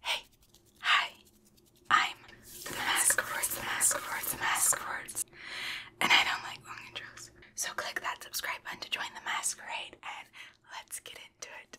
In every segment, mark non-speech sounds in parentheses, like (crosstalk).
Hey, hi. I'm the mask words, the mask words, the mask And I don't like long intros. So click that subscribe button to join the masquerade and let's get into it.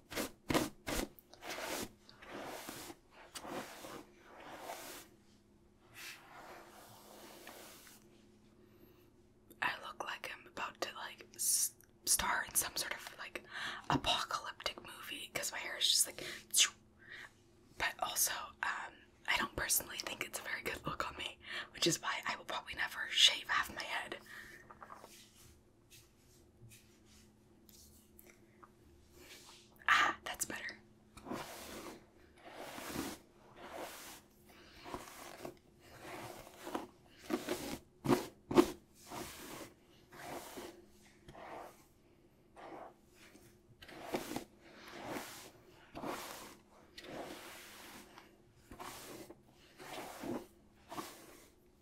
I look like I'm about to like star in some sort of like apocalyptic movie because my hair is just like. But also, um, I don't personally think it's a very good look on me, which is why I will probably never shave half my head. Ah, that's better.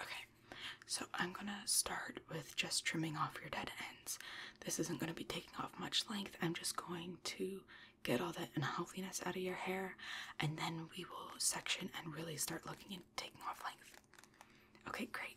Okay, so I'm gonna start with just trimming off your dead ends. This isn't gonna be taking off much length, I'm just going to get all that unhealthiness out of your hair, and then we will section and really start looking and taking off length. Okay, great.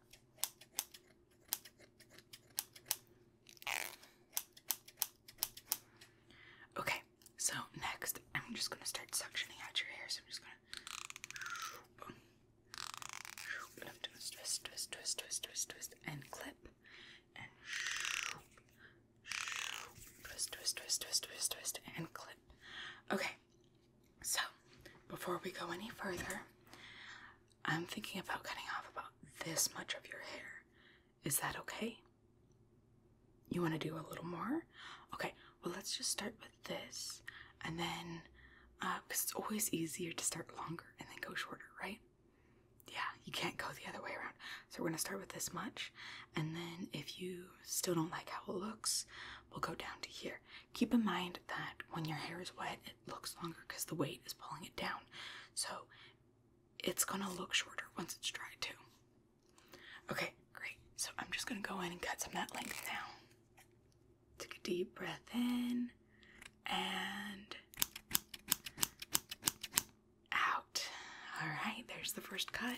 Okay, so next I'm just gonna start suctioning out your hair. So I'm just gonna twist, twist, twist, twist, twist, twist, and clip, and twist, twist, twist, twist, twist, twist, and clip. Okay, so, before we go any further, I'm thinking about cutting off about this much of your hair. Is that okay? You want to do a little more? Okay, well, let's just start with this and then, because uh, it's always easier to start longer and then go shorter, right? Yeah, you can't go the other way around. So, we're going to start with this much, and then if you still don't like how it looks, we'll go down to here. Keep in mind that when your hair is wet, it looks longer because the weight is pulling it down. So it's gonna look shorter once it's dried too. Okay, great. So I'm just gonna go in and cut some of that length down. Take a deep breath in and out. All right, there's the first cut.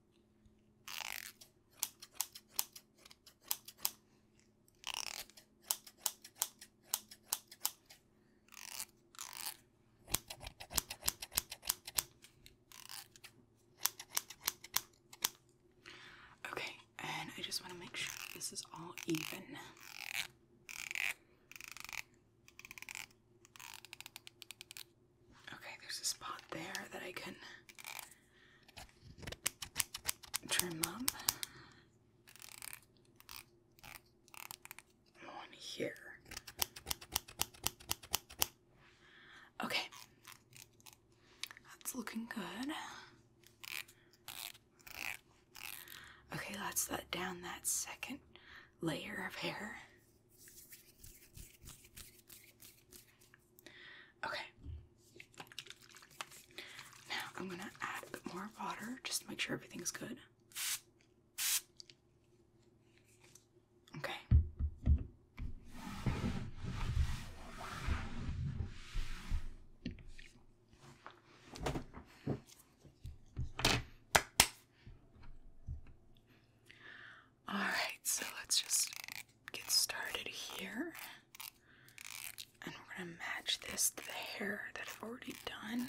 Okay, and I just want to make sure this is all even. Okay, there's a spot there that I can trim up. One here. Okay, that's looking good. Okay, let's let down that second layer of hair. Okay. Now I'm gonna add more water just make sure everything's good. Okay. Alright, so let's just get started here. And we're going to match this to the hair that I've already done.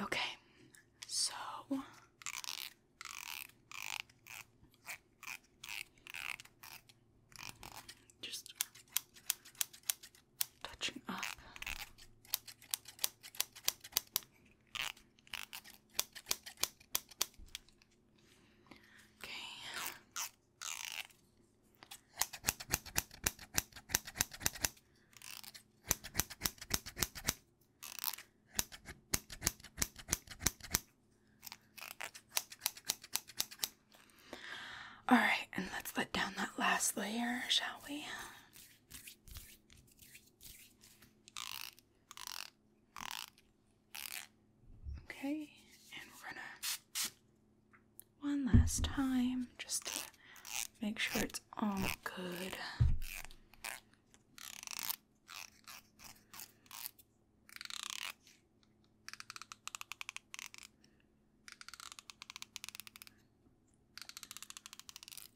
Okay, so just touching up. Okay. All right, and let's let down that last layer, shall we? Okay, and we're gonna one last time just to make sure it's all good.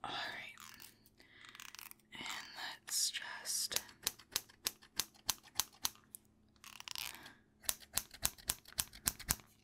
All right, and let's just.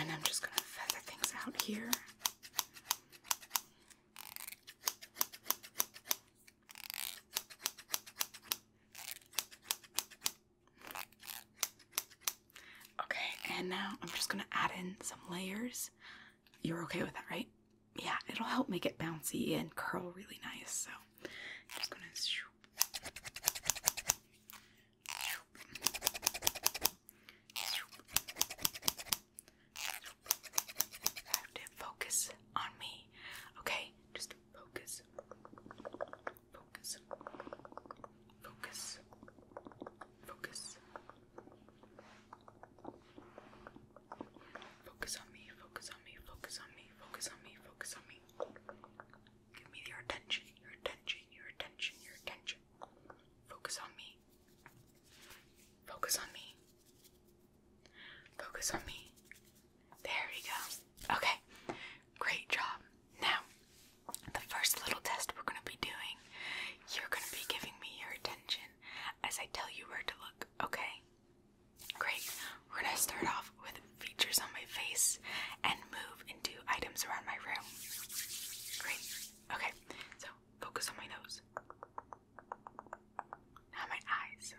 And I'm just going to feather things out here. Okay, and now I'm just going to add in some layers. You're okay with that, right? Yeah, it'll help make it bouncy and curl really nice. So just going to have to focus on me. Okay, just focus. Focus. Focus. Focus. Focus on me, focus on me, focus on me, focus on me, focus on me. Give me your attention, your attention, your attention, your attention. Focus on me. Focus on me. Focus on me. There we go. Okay, great job. Now, the first little test we're going to be doing, you're going to be giving me your attention as I tell you where to look, okay? Great we're gonna start off with features on my face and move into items around my room. Great. Okay, so focus on my nose. Now my eyes.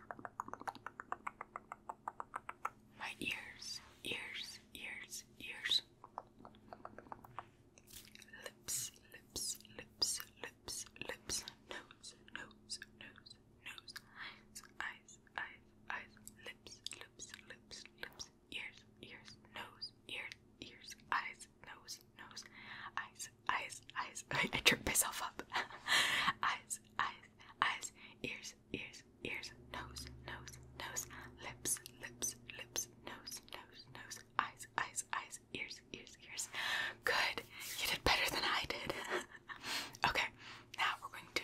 My ears, ears, ears, ears. Lips, lips, lips, lips, lips. Nose, nose, nose, nose. Eyes, eyes, eyes, eyes, lips, lips, lips, lips, ears, ears, nose, ears, ears, eyes, nose, nose, eyes, eyes, eyes. (laughs) I, I tripped myself up. (laughs) eyes, eyes, eyes, ears, ears, ears, nose, nose, nose, lips, lips, lips, nose, nose, nose, eyes, eyes, eyes, ears, ears, ears. Good. You did better than I did. (laughs) okay. Now we're going to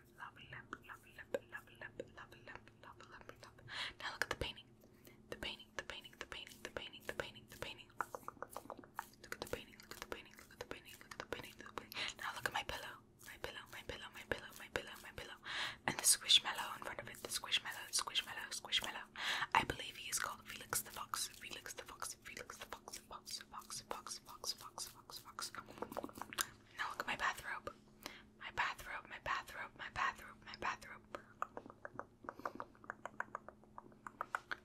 now look at the painting. The painting, the painting, the painting, the painting, the painting, the painting. Look at the painting, look at the painting, look at the painting, look at the painting, the painting. Now look at my pillow. My pillow, my pillow, my pillow, my pillow, my pillow. And the squishmallow in front of it. The squishmallow, squishmallow, squishmallow. I believe he is called Felix the Fox. Felix the Fox. Felix the Fox the Fox box, box, box, box, box, box. Now look at my bathrobe. My bathrobe, my bathrobe, my bathrobe, my bathrobe.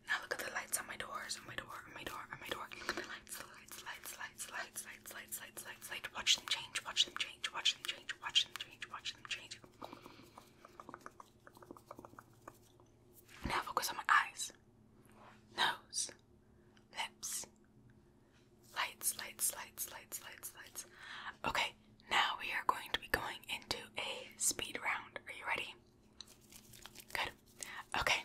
Now look at the lights on my doors, on my door, on my door, on my door. Look at the lights, the lights, lights, lights, lights, lights, lights, lights, lights, lights. Watch them change, watch them change, watch them change, watch them change, watch them change. Now focus on my eyes, nose, lips. Lights, lights, lights, lights, lights, lights. Okay, now we are going to be going into a speed round. Are you ready? Good. Okay.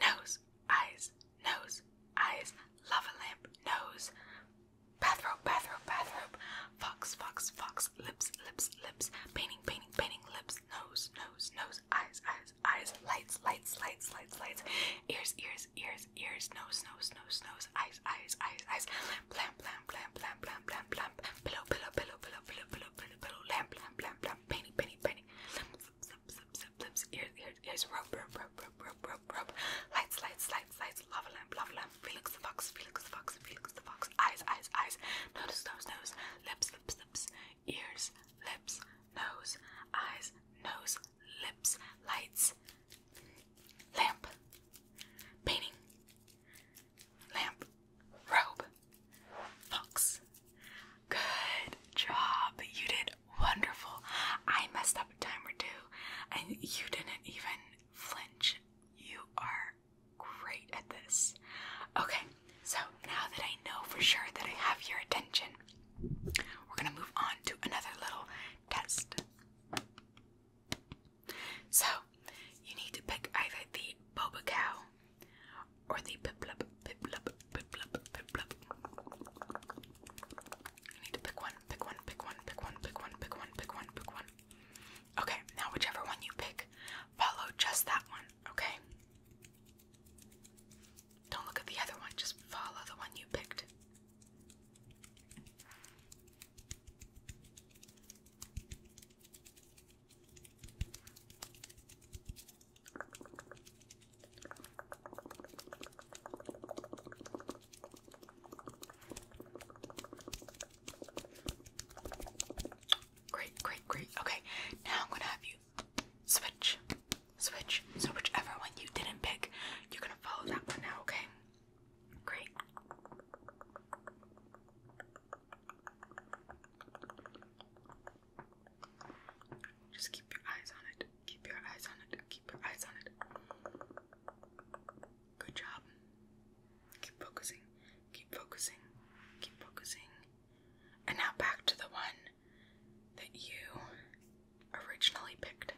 Nose, eyes, nose, eyes, lava lamp, nose, bathrobe, bathrobe, bathrobe, fox, fox, fox, lips, lips, lips, painting, painting, painting, lips, nose, nose, nose, eyes, eyes, eyes, eyes, lights, lights, lights, lights, lights, ears, ears, ears, ears, nose, nose, nose, nose, eyes, eyes, eyes, eyes, lamp, lamp, lamp, lamp, lamp, lamp, lamp, pillow, pillow, pillow, pillow, pillow, pillow, pillow, pillow, lamp, lamp, lamp, lamp, penny, penny, penny, lips, lips, lips, ears, ears, ears, rope, rope, rope, rope, rope, rope, rope, lights, lights, lights, lights, lava lamp, lava lamp, Felix the fox, Felix the fox, Felix the fox, eyes, eyes, eyes, nose, nose, nose, lips, lips, lips, ears, lips, nose, eyes, nose, lips, lights, lamp, painting, lamp, robe, fox. Good job. You did wonderful. I messed up a time or two, and you didn't even flinch. You are great at this. Okay, so now that I know for sure that I have your attention, we're gonna move on to another little test. So you need to pick either the boba cow or the piplup, piplup, piplup, piplup. You need to pick one, pick one, pick one, pick one, pick one, pick one, pick one, pick one. Okay, now whichever one you pick, follow just that one, okay? Don't look at the other one, just follow the one you picked. Great, great, great. Okay, now I'm going to have you switch, switch. So whichever one you didn't pick, you're gonna follow that one now, okay? Great. Just keep your eyes on it. Keep your eyes on it. Keep your eyes on it. Good job. Keep focusing. Keep focusing. Keep focusing. And now back to the one that you originally picked.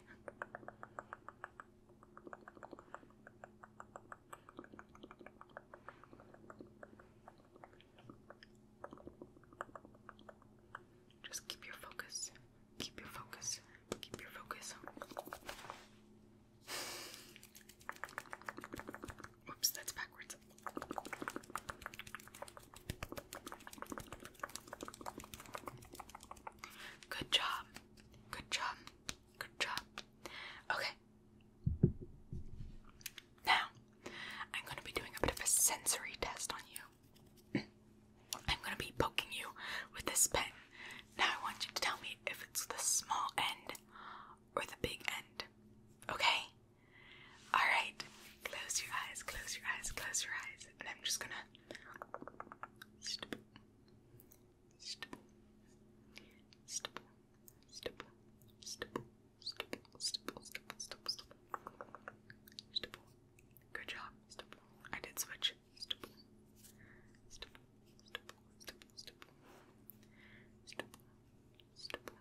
Just keep your focus. Keep your focus. Keep your focus. Oops, that's backwards. Good job. Good job. Good job. Okay. Now, I'm going to be doing a bit of a sensory test on you. I'm going to be poking you with this pen. Now, I want you to tell me if it's the small end or the big end. Okay? Alright, close your eyes, close your eyes, close your eyes. And I'm just gonna. Stipple. Stipple. Stipple. Stipple. Stipple. Stipple. Stipple. Stipple. Stipple. Stipple. Stipple. Good job. Stipple. I did switch. Stipple. Stipple. Stipple. Stipple. Stipple. Stipple. Stipple. Stipple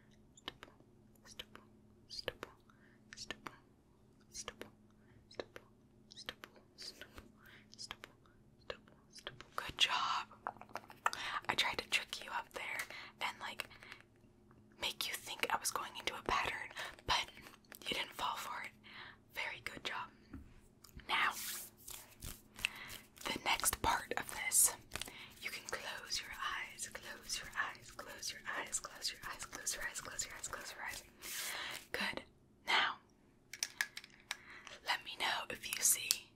stipple, stipple, stipple, stipple, stipple, stipple, stipple, stipple, stipple, stipple. Good job. I tried to trick you up there and like make you think I was going into a pattern, but you didn't fall for it. Very good job. Now, the next part of this you can close your eyes, close your eyes, close your eyes, close your eyes, close your eyes, close your eyes, close your eyes. Good. Now, let me know if you see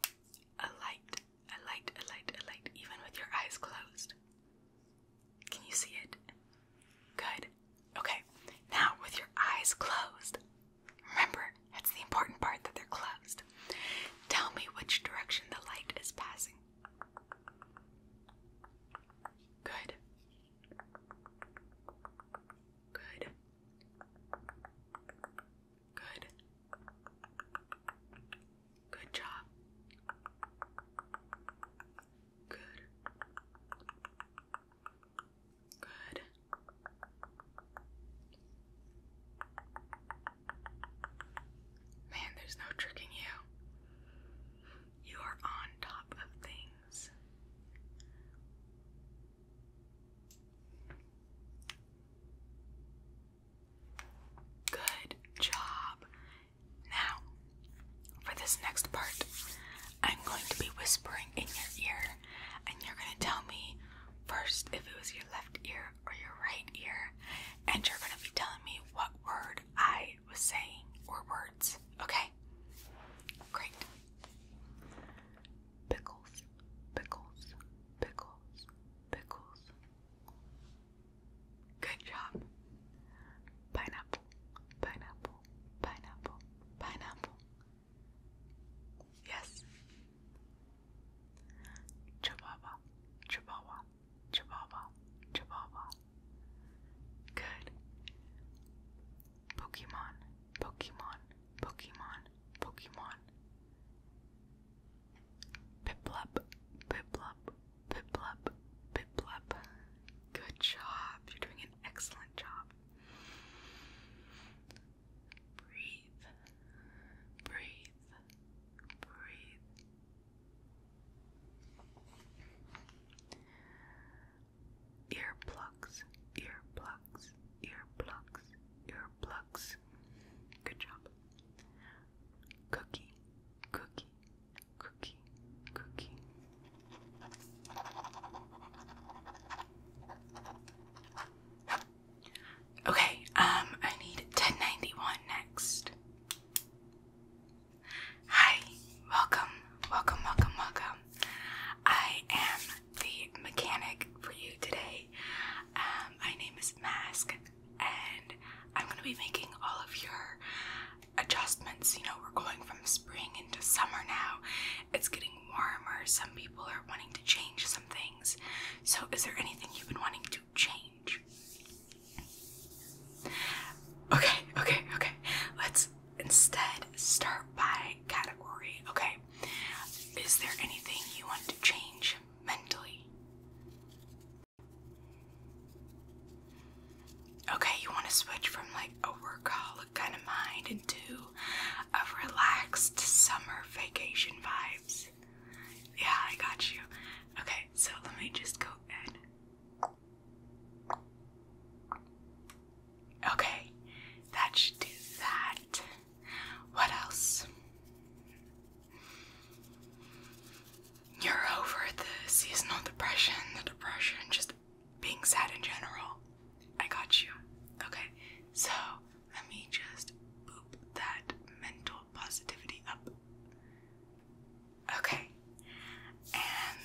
a light, a light, a light, a light, even with your eyes closed. Can you see it? Good. Okay. Now, with your eyes closed, remember that's the important part that they're closed. Tell me which direction the light is passing. Good. Good. Good. Good job. Good. Good. Man, there's no tricking you. You are on top of things. Good job. Now, for this next part, I'm going to be whispering in your ear, and you're going to tell me first if it was your left ear or your right ear, and you're going to be telling me what word I was saying or words. Okay? Great. Pickles, pickles, pickles, pickles. Good job. Pineapple, pineapple, pineapple, pineapple. Yes. Chihuahua, chihuahua, Chihuahua, Chihuahua. Good. Pokemon, Pokemon, Pokemon, Pokemon. Piplup, Piplup, Piplup, Piplup. Good job. You're doing an excellent job. Breathe, breathe, breathe, Earplugs, earplugs, earplugs, earplugs. Good job. Cookie, cookie, cookie, cookie. Okay, um, I need 1091 next. Hi, welcome, welcome, welcome, welcome. I am the mechanic for you today. Um, my name is Mask, and I'm going to be making all of your adjustments. You know, we're going from spring into summer now. It's getting warmer. Some people are wanting to change some things. So, is there anything you've been wanting to change? Okay, okay, okay. Let's instead start by category. Okay. Is there anything you want to change mentally? Okay, you want to switch from like a workaholic kind of mind into a relaxed summer vacation vibes. Yeah, I got you. Okay, so let me just go Okay, that should do that. What else? You're over the seasonal depression, the depression, just being sad in general. I got you. Okay, so let me just boop that mental positivity up. Okay. And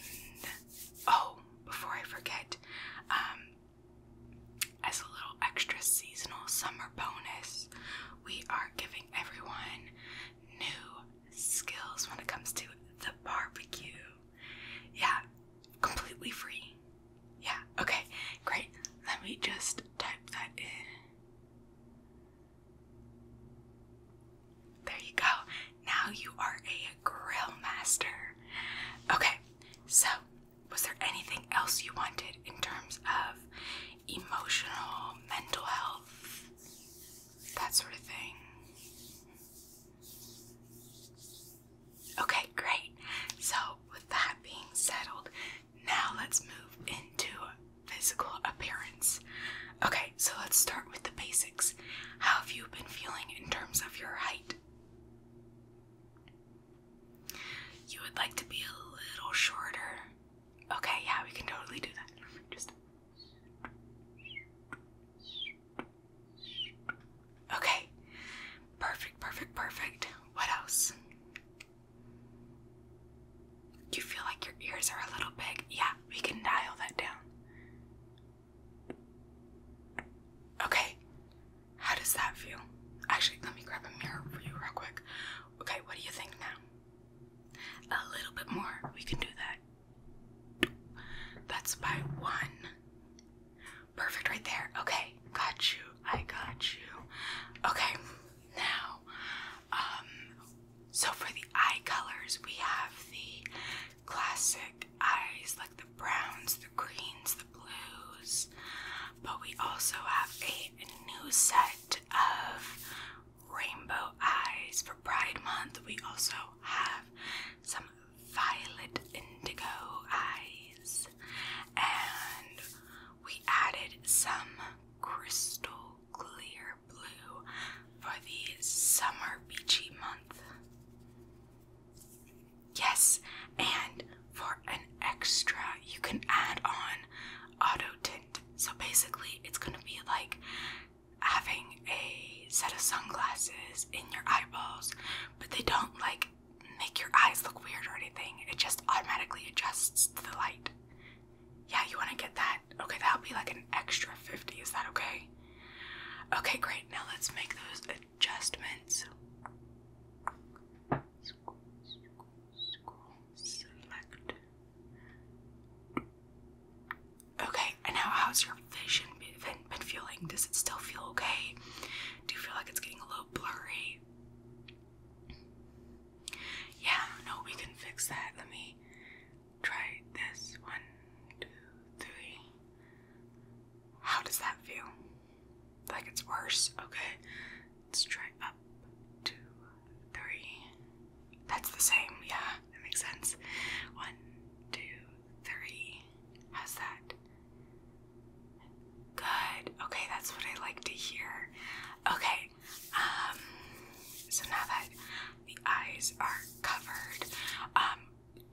oh, before I forget, um, as a little extra seasonal summer bonus, we are giving everyone new skills when it comes to the barbecue. Yeah, completely free. Yeah, okay, great. Let me just type that in. There you go. Now you are a grill master. Okay, so was there anything else you wanted in terms of emotional, mental health, that sort of thing? Okay, great. So, with that being settled, now let's move into physical appearance. Okay, so let's start with the basics. How have you been feeling in terms of your height? You would like to be a little shorter. Okay, yeah, we can totally do that. Just Okay. Perfect, perfect, perfect. What else? you feel like your ears are a little big? Yeah, we can dial that down. Okay, how does that feel? Actually, let me grab a mirror for you real quick. Okay, what do you think now? A little bit more, we can do that. That's by one. Perfect, right there. Okay, got you. I got you. Okay, now um, so for the eye colors, we have the classic eyes like the browns, the greens, the blues, but we also have a new set of rainbow eyes for Pride Month. We also have some violet indigo eyes, and we added some crystal clear blue for the summer beachy month. Yes, and for an extra, you can add on auto tint. So basically, it's going to be like having a set of sunglasses in your eyeballs, but they don't like make your eyes look weird or anything. It just automatically adjusts to the light. Yeah, you want to get that? Okay, that'll be like an extra 50. Is that okay? Okay, great. Now let's make those adjustments. Okay, and now how's your vision been, been feeling? Does it still feel okay? Do you feel like it's getting a little blurry? Yeah, no, we can fix that. Let me Try this. One, two, three. How does that feel? Like it's worse? Okay. Let's try up. Two, three. That's the same. Yeah, that makes sense. One, two, three. How's that? Good. Okay, that's what I like to hear. Okay, um, so now that the eyes are covered, um,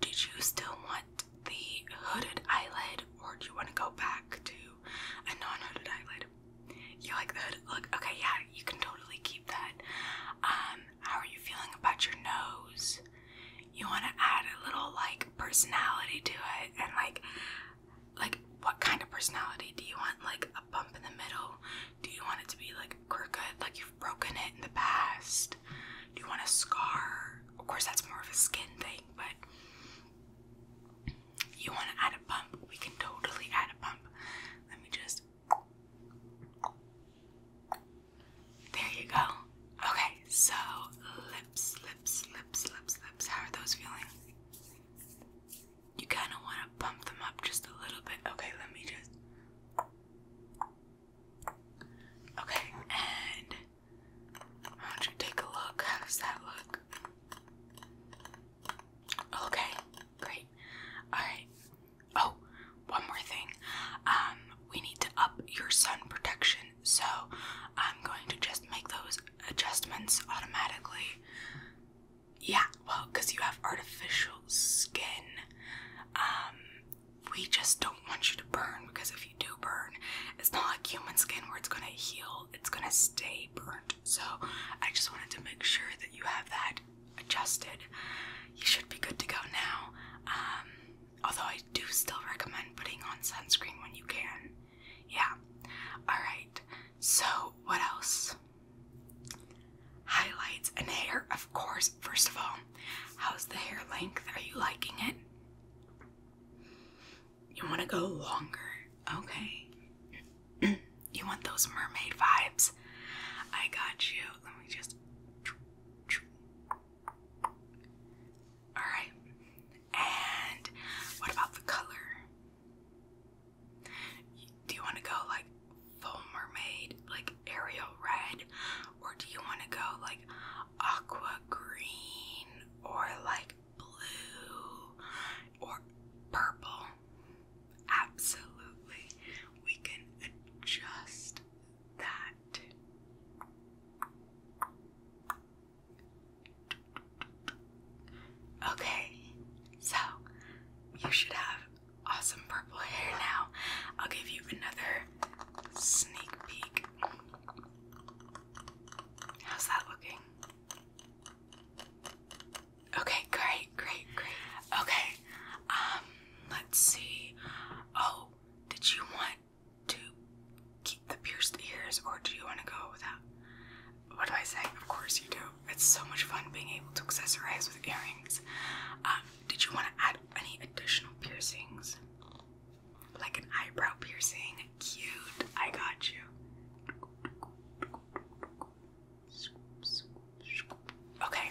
did you still want the hooded eyelid or do you want to go back to a non eyelid? You like the hooded look? Okay, yeah, you can totally keep that. Um, how are you feeling about your nose? You want to add a little like personality to it and like like what kind of personality do you want? Like a bump in the middle? Do you want it to be like crooked, like you've broken it in the past? Do you want a scar? Of course, that's more of a skin thing, but you want to add a bump? We can totally add a bump. Let me just. There you go. Okay, so lips, lips, lips, lips, lips. How are those feeling? you kind of want to pump them up just a little bit. Okay, let me just. Okay, and why do you take a look? How does that look? Okay, great. Alright. Oh, one more thing. Um, we need to up your sun protection, so I'm going to just make those adjustments automatically yeah, well, because you have artificial skin. Um, we just don't want you to burn because if you do burn, it's not like human skin where it's gonna heal, it's gonna stay burnt. So, I just wanted to make sure that you have that adjusted. You should be good to go now. Um, although I do still recommend putting on sunscreen when you can. Yeah, alright. So, what else? Highlights and hair, of course. First of all, how's the hair length? Are you liking it? You want to go longer? Okay. (clears throat) you want those mermaid vibes? I got you. Let me just. Alright. And what about the color? Do you want to go like full mermaid, like Ariel red, or do you want to go like aqua green, or like blue, or purple? Absolutely, we can adjust that. Okay, so you should have awesome purple hair now. I'll give you another sneak peek. How's that looking? Okay, great, great, great. Okay, um, let's see. Oh, did you want to keep the pierced ears or do you want to go without? What do I say? Of course you do it's so much fun being able to accessorize with earrings. Um, did you want to add any additional piercings? Like an eyebrow piercing? Cute, I got you. Okay.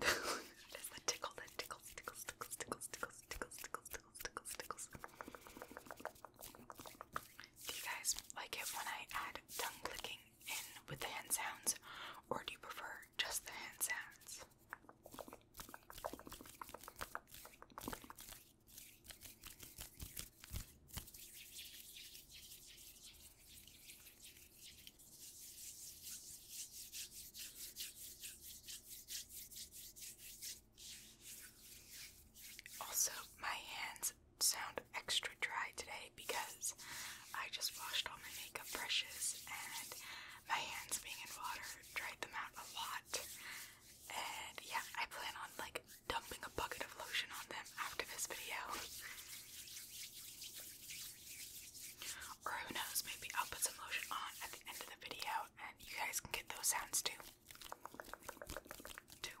Do you guys like it when I add tongue clicking in with the hand sounds, or do you prefer just the hand sounds? Also, my hands sound extra dry today because I just washed all my makeup brushes and my hands being in water dried them out a lot. And yeah, I plan on like dumping a bucket of lotion on them after this video. Or who knows, maybe I'll put some lotion on at the end of the video and you guys can get those sounds too. Two.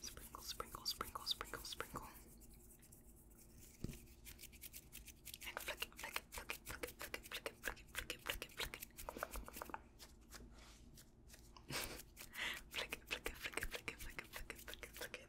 Sprinkle, sprinkle, sprinkle, sprinkle, sprinkle. And flick it, flick it, flick it, flick it, flick it, flick it, flick it, flick it, flick it, flick it. Flick it, flick it, flick it, flick it, flick it, flick it, flick it, flick it. Flick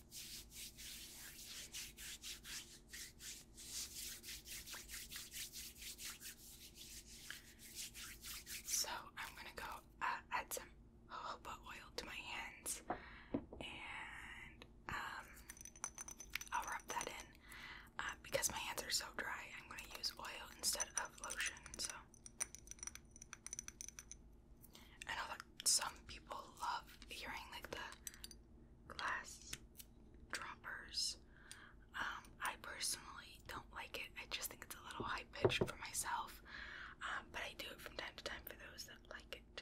So I'm gonna go uh, add some jojoba oil to my hands and um, I'll rub that in. Uh, because my hands are so dry, I'm gonna use oil instead of lotion. So I know that some people love hearing like the glass droppers. Um, I personally don't like it. I just think it's a little high pitched for myself. Um, but I do it from time to time for those that like it.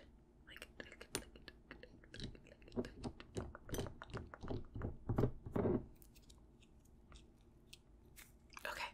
Okay.